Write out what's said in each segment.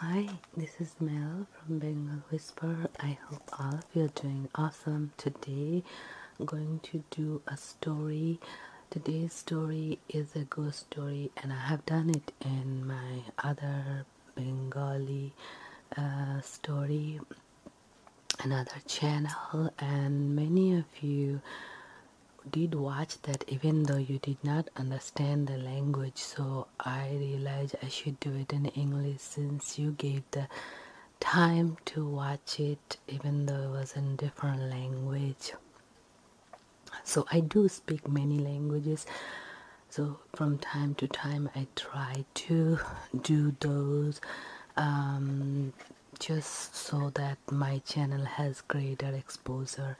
Hi, this is Mel from Bengal Whisper. I hope all of you are doing awesome. Today I'm going to do a story. Today's story is a ghost story and I have done it in my other Bengali uh, story another channel and many of you did watch that even though you did not understand the language so i realized i should do it in english since you gave the time to watch it even though it was in different language so i do speak many languages so from time to time i try to do those um, just so that my channel has greater exposure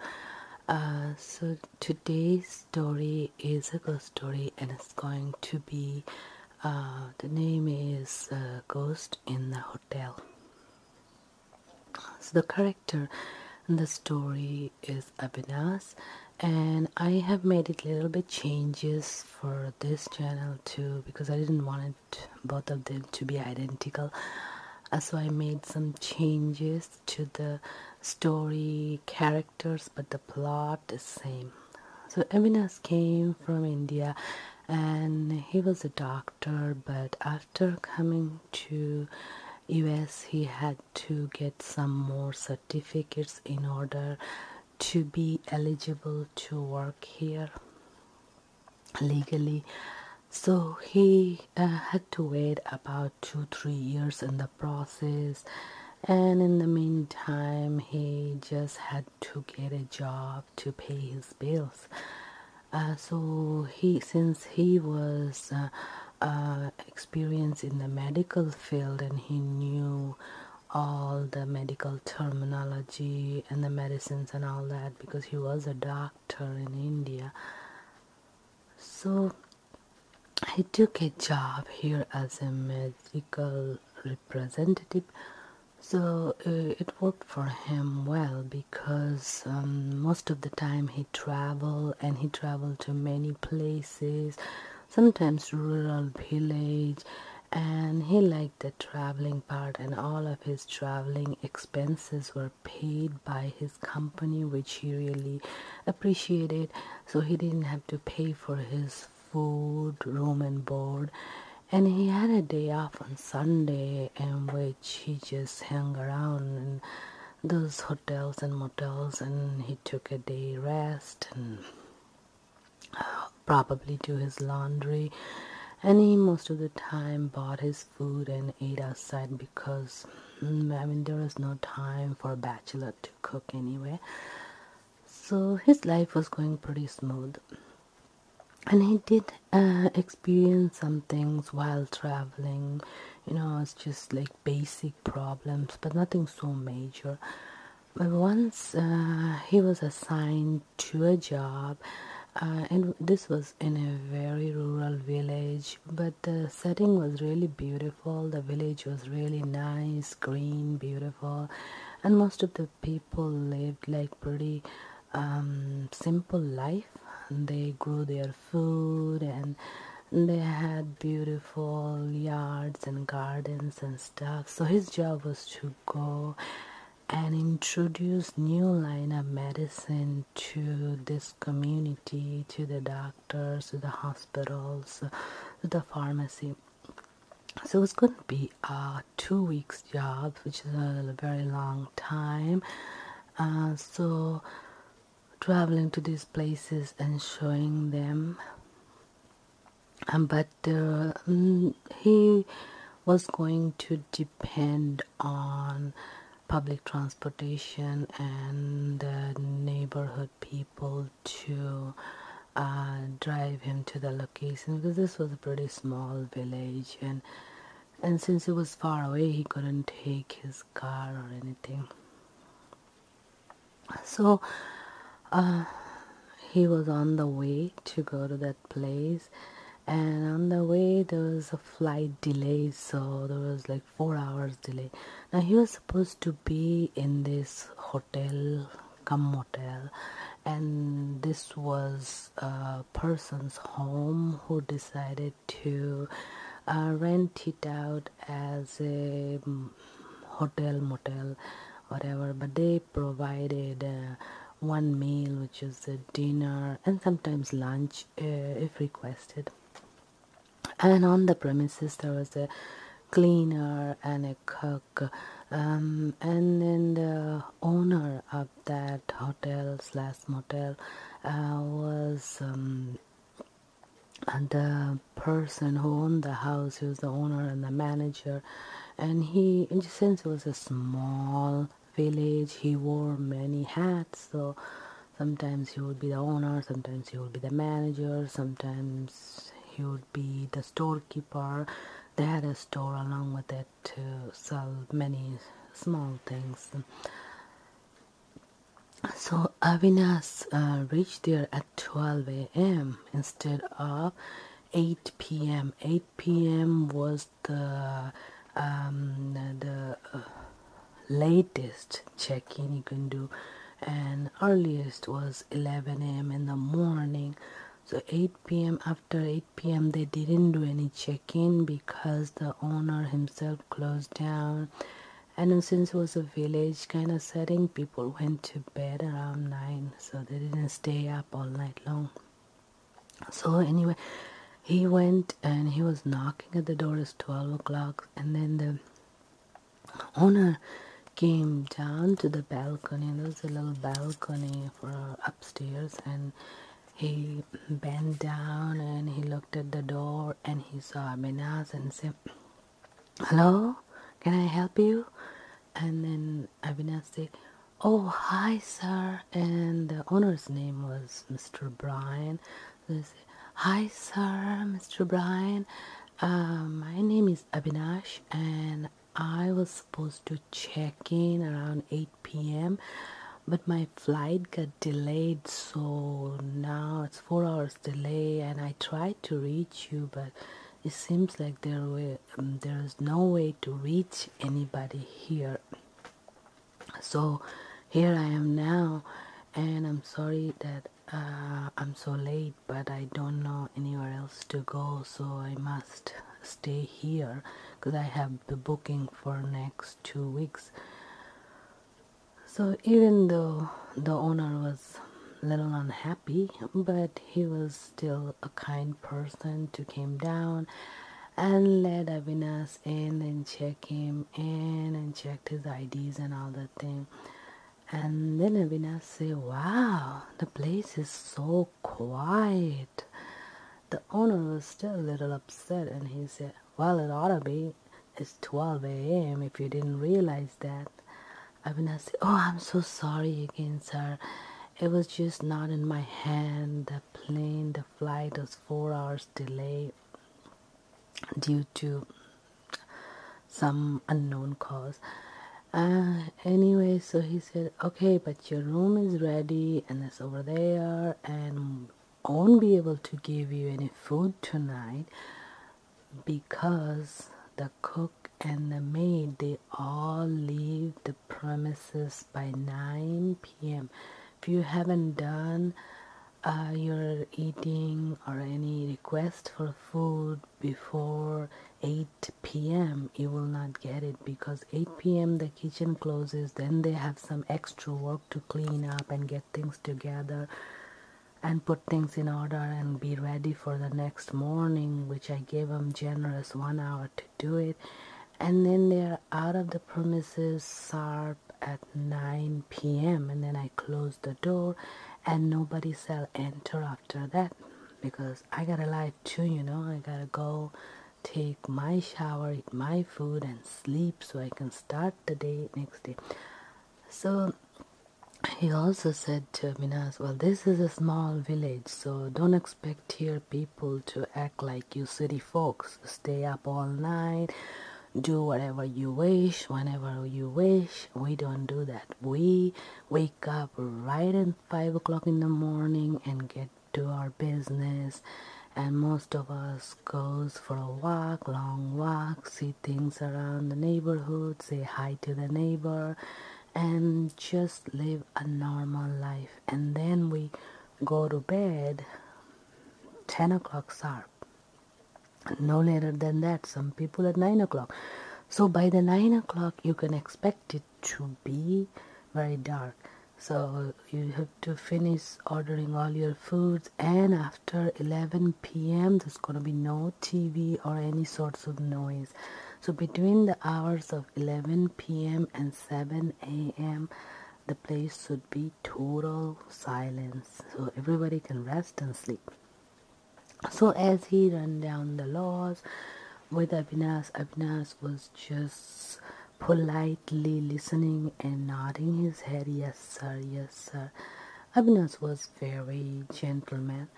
uh, so today's story is a ghost story and it's going to be uh, the name is uh, ghost in the hotel so the character in the story is Abhinas and I have made it a little bit changes for this channel too because I didn't want it both of them to be identical uh, so I made some changes to the story characters but the plot is same so Avinas came from India and he was a doctor but after coming to US he had to get some more certificates in order to be eligible to work here legally so he uh, had to wait about two three years in the process and in the meantime he just had to get a job to pay his bills uh, so he since he was uh, experienced in the medical field and he knew all the medical terminology and the medicines and all that because he was a doctor in India. So he took a job here as a medical representative. So uh, it worked for him well because um, most of the time he traveled and he traveled to many places, sometimes rural village and he liked the traveling part and all of his traveling expenses were paid by his company which he really appreciated so he didn't have to pay for his food room and board and he had a day off on sunday in which he just hung around and those hotels and motels and he took a day rest probably do his laundry and he most of the time bought his food and ate outside because mm, I mean there was no time for a bachelor to cook anyway so his life was going pretty smooth and he did uh, experience some things while traveling you know it's just like basic problems but nothing so major but once uh, he was assigned to a job, uh, and this was in a very rural village, but the setting was really beautiful. The village was really nice, green, beautiful, and most of the people lived like pretty um, simple life. And they grew their food and they had beautiful yards and gardens and stuff so his job was to go and introduce new line of medicine to this community to the doctors to the hospitals to the pharmacy so it's going to be a two weeks job which is a very long time uh, so traveling to these places and showing them um, but but uh, mm, he was going to depend on public transportation and the neighborhood people to uh, drive him to the location because this was a pretty small village and and since it was far away he couldn't take his car or anything so uh, he was on the way to go to that place and on the way there was a flight delay so there was like four hours delay now he was supposed to be in this hotel come motel and this was a person's home who decided to uh, rent it out as a mm, hotel motel whatever but they provided uh, one meal which is the dinner and sometimes lunch uh, if requested and on the premises there was a cleaner and a cook um, and then the owner of that hotel slash motel uh, was um, the person who owned the house, he was the owner and the manager, and he, since it was a small village, he wore many hats, so sometimes he would be the owner, sometimes he would be the manager, sometimes he would be the storekeeper. They had a store along with it to sell many small things. So Avinas uh, reached there at 12 a.m. instead of 8 p.m. 8 p.m. was the um, the uh, latest check-in you can do and earliest was 11 a.m. in the morning so 8 p.m. after 8 p.m. they didn't do any check-in because the owner himself closed down and since was a village kind of setting people people went to bed around nine, so they didn't stay up all night long. So anyway, he went and he was knocking at the door. It's twelve o'clock, and then the owner came down to the balcony. There's a little balcony for upstairs, and he bent down and he looked at the door and he saw Minaz and said, hello can i help you and then Abinash said oh hi sir and the owner's name was mr brian so they said, hi sir mr brian um, my name is Abinash, and i was supposed to check in around 8 p.m but my flight got delayed so now it's four hours delay and i tried to reach you but it seems like there were um, there is no way to reach anybody here so here i am now and i'm sorry that uh, i'm so late but i don't know anywhere else to go so i must stay here because i have the booking for next two weeks so even though the owner was little unhappy, but he was still a kind person to came down and let Avinas in and check him in and checked his IDs and all that thing. And then Avinas say, wow, the place is so quiet. The owner was still a little upset and he said, well, it ought to be. It's 12 a.m. if you didn't realize that. I've Abhinav said, Oh, I'm so sorry again, sir. It was just not in my hand. The plane, the flight was four hours delay due to some unknown cause. Uh, anyway, so he said, Okay, but your room is ready and it's over there, and won't be able to give you any food tonight because the cook and the maid they all leave the premises by 9 p.m. If you haven't done uh, your eating or any request for food before 8 p.m., you will not get it because 8 p.m. the kitchen closes, then they have some extra work to clean up and get things together and put things in order and be ready for the next morning which i gave them generous one hour to do it and then they're out of the premises sharp at 9 p.m and then i close the door and nobody shall enter after that because i got a life too you know i gotta go take my shower eat my food and sleep so i can start the day next day so he also said to Minas, Well, this is a small village, so don't expect here people to act like you city folks. Stay up all night, do whatever you wish, whenever you wish. We don't do that. We wake up right at 5 o'clock in the morning and get to our business and most of us goes for a walk long walk see things around the neighborhood say hi to the neighbor and just live a normal life and then we go to bed 10 o'clock sharp no later than that some people at 9 o'clock so by the 9 o'clock you can expect it to be very dark so you have to finish ordering all your foods and after after 11 p.m. there's gonna be no TV or any sorts of noise. So between the hours of 11 p.m. and 7 a.m. the place should be total silence so everybody can rest and sleep. So as he ran down the laws with Abhinas, Abhinas was just politely listening and nodding his head yes sir yes sir Avinas was very gentleman.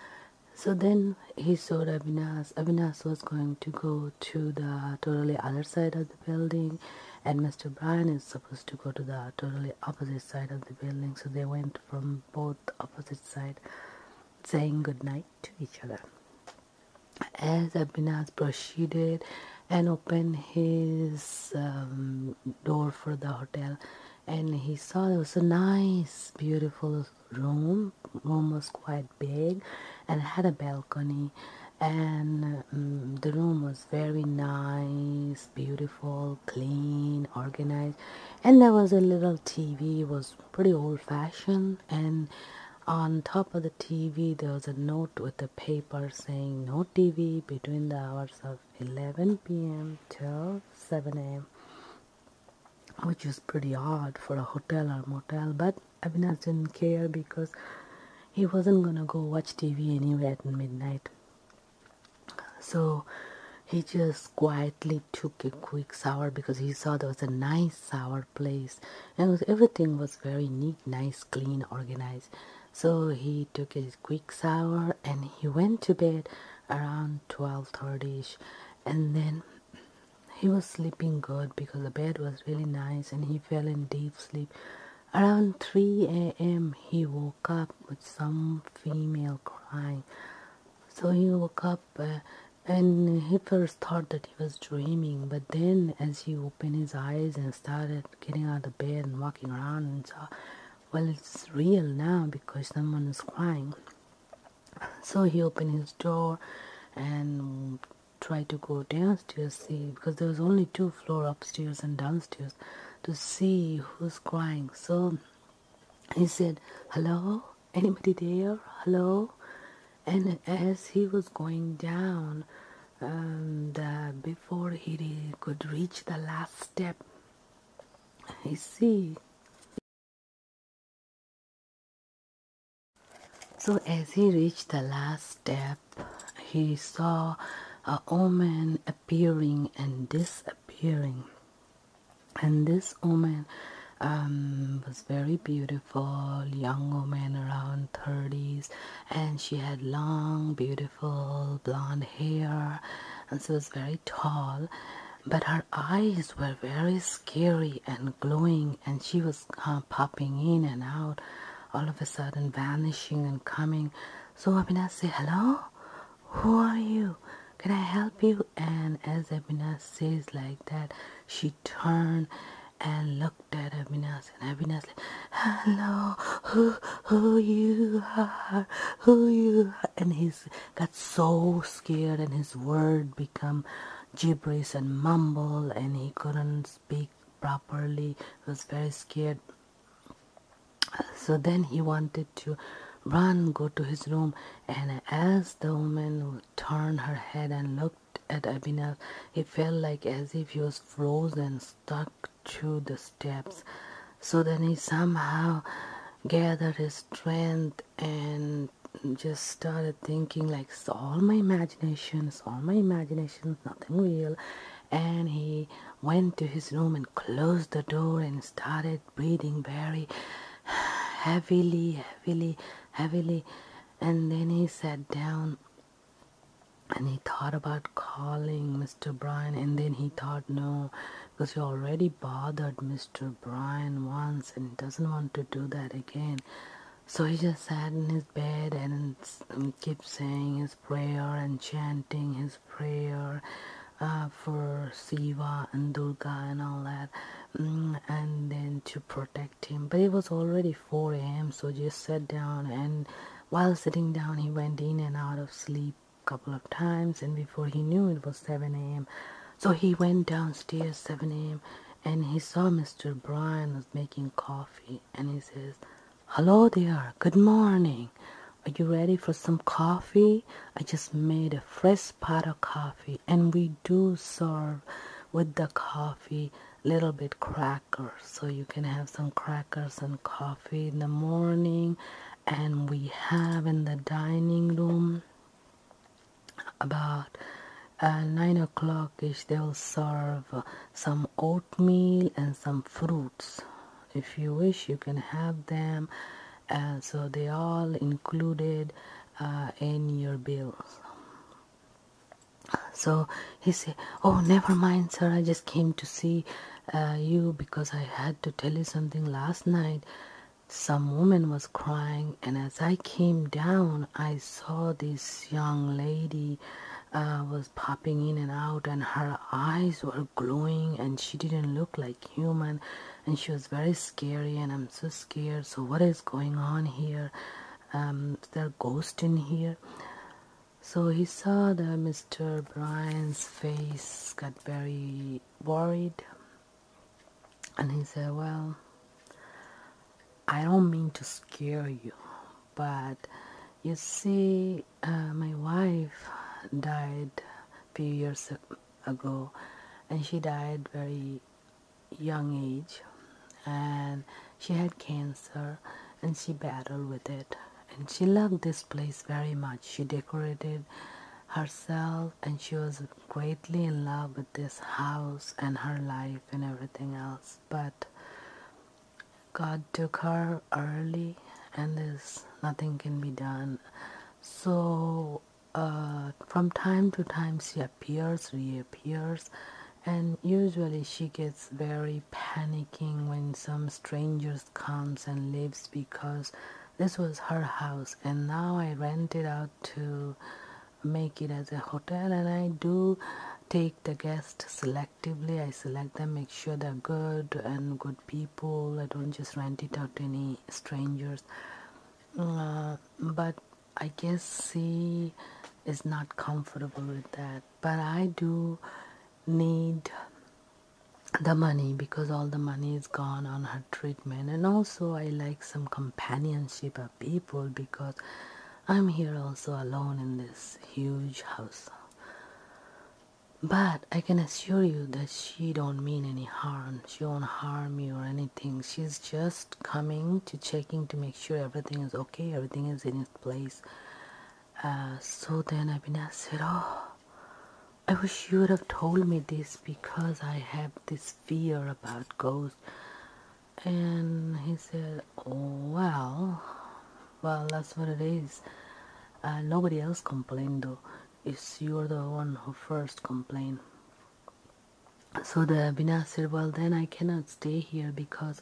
So then he saw Avinas. Avinas was going to go to the totally other side of the building, and Mr. Brian is supposed to go to the totally opposite side of the building. So they went from both opposite side, saying good night to each other. As Avinas proceeded and opened his um, door for the hotel, and he saw it was a nice beautiful room room was quite big and had a balcony and mm, the room was very nice beautiful clean organized and there was a little tv it was pretty old fashioned and on top of the tv there was a note with a paper saying no tv between the hours of 11 p.m. till 7 a.m., which was pretty odd for a hotel or motel. But Avinash didn't care because he wasn't gonna go watch TV anywhere at midnight. So he just quietly took a quick shower because he saw there was a nice shower place and everything was very neat, nice, clean, organized. So he took his quick shower and he went to bed around 12.30ish and then he was sleeping good because the bed was really nice and he fell in deep sleep around 3 a.m he woke up with some female crying so he woke up uh, and he first thought that he was dreaming but then as he opened his eyes and started getting out of bed and walking around and saw well it's real now because someone is crying so he opened his door and tried to go downstairs see because there was only two floor upstairs and downstairs to see who's crying so he said hello anybody there hello and as he was going down um, before he could reach the last step I see. So, as he reached the last step, he saw a woman appearing and disappearing. And this woman um, was very beautiful, young woman around 30s, and she had long, beautiful Full blonde hair, and she was very tall. But her eyes were very scary and glowing, and she was uh, popping in and out, all of a sudden vanishing and coming. So Abhinav said, Hello, who are you? Can I help you? And as Abhinav says like that, she turned and looked at Abhinas and Abhinas like, Hello, who who you are, who you are. And he has got so scared and his word become gibberish and mumble and he couldn't speak properly. He was very scared. So then he wanted to run, go to his room. And as the woman turned her head and looked at Abhinav, he felt like as if he was frozen, stuck to the steps. So then he somehow gathered his strength and just started thinking like all my imaginations, all my imaginations, nothing real. And he went to his room and closed the door and started breathing very heavily, heavily, heavily. And then he sat down and he thought about calling Mr. Brian, and then he thought, No, because he already bothered Mr. Brian once and he doesn't want to do that again. So he just sat in his bed and kept saying his prayer and chanting his prayer uh, for Siva and Durga and all that, mm, and then to protect him. But it was already 4 a.m., so just sat down and while sitting down, he went in and out of sleep a couple of times, and before he knew it was 7 a.m. So he went downstairs 7 a.m. and he saw Mr. Bryan was making coffee, and he says, Hello there, good morning. Are you ready for some coffee? I just made a fresh pot of coffee, and we do serve with the coffee little bit crackers so you can have some crackers and coffee in the morning and we have in the dining room about uh, 9 o'clock ish they will serve some oatmeal and some fruits if you wish you can have them uh, so they all included uh, in your bill. so he said oh never mind sir i just came to see uh, you because I had to tell you something last night. Some woman was crying, and as I came down, I saw this young lady uh, was popping in and out, and her eyes were glowing, and she didn't look like human, and she was very scary, and I'm so scared. So what is going on here? Um, there are ghosts in here? So he saw that Mr. Bryan's face got very worried, and he said, Well, I don't mean to scare you, but you see, uh, my wife died a few years ago, and she died very young age, and she had cancer, and she battled with it, and she loved this place very much. She decorated herself and she was greatly in love with this house and her life and everything else. But God took her early and there's nothing can be done. So uh, from time to time she appears, reappears and usually she gets very panicking when some strangers comes and leaves because this was her house and now I rent it out to make it as a hotel and I do take the guests selectively I select them make sure they're good and good people I don't just rent it out to any strangers uh, but I guess she is not comfortable with that but I do need the money because all the money is gone on her treatment and also i like some companionship of people because i'm here also alone in this huge house but i can assure you that she don't mean any harm she won't harm me or anything she's just coming to checking to make sure everything is okay everything is in its place uh, so then Abhinaya said, Oh, I wish you would have told me this because I have this fear about ghosts. And he said, oh, Well, well, that's what it is. Uh, nobody else complained though. It's you're the one who first complained. So the Abhinaya said, Well, then I cannot stay here because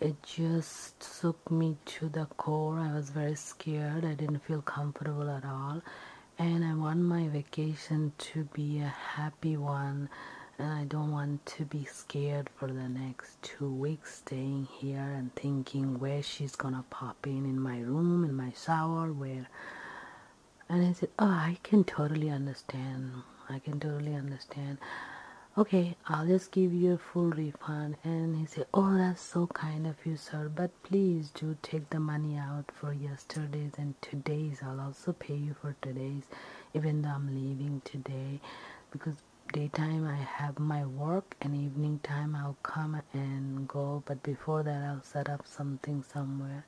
it just so me to the core. I was very scared. I didn't feel comfortable at all. And I want my vacation to be a happy one. And I don't want to be scared for the next two weeks staying here and thinking where she's gonna pop in in my room, in my shower, where. And I said, Oh, I can totally understand. I can totally understand okay i'll just give you a full refund and he said oh that's so kind of you sir but please do take the money out for yesterday's and today's i'll also pay you for today's even though i'm leaving today because daytime i have my work and evening time i'll come and go but before that i'll set up something somewhere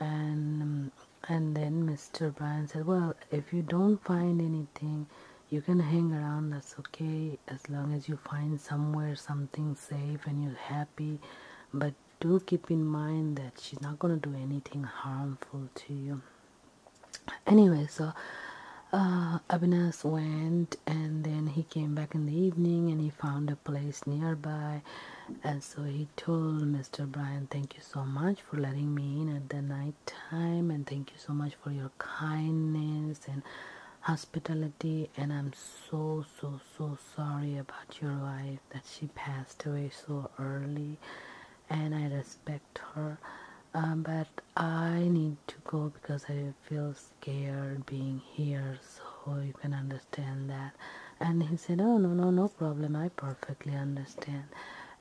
and and then mr brian said well if you don't find anything you can hang around that's okay as long as you find somewhere something safe and you're happy but do keep in mind that she's not going to do anything harmful to you anyway so uh, went and then he came back in the evening and he found a place nearby and so he told Mr. Brian thank you so much for letting me in at the night time and thank you so much for your kindness and hospitality and i'm so so so sorry about your wife that she passed away so early and i respect her um, but i need to go because i feel scared being here so you can understand that and he said oh no no no problem i perfectly understand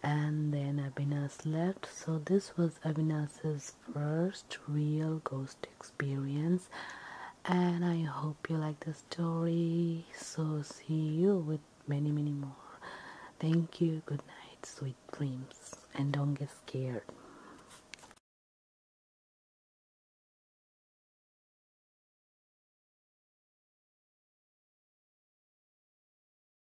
and then Abhinas left. So this was Abhinas's first real ghost experience and I hope you like the story. So see you with many many more. Thank you. Good night. Sweet dreams and don't get scared.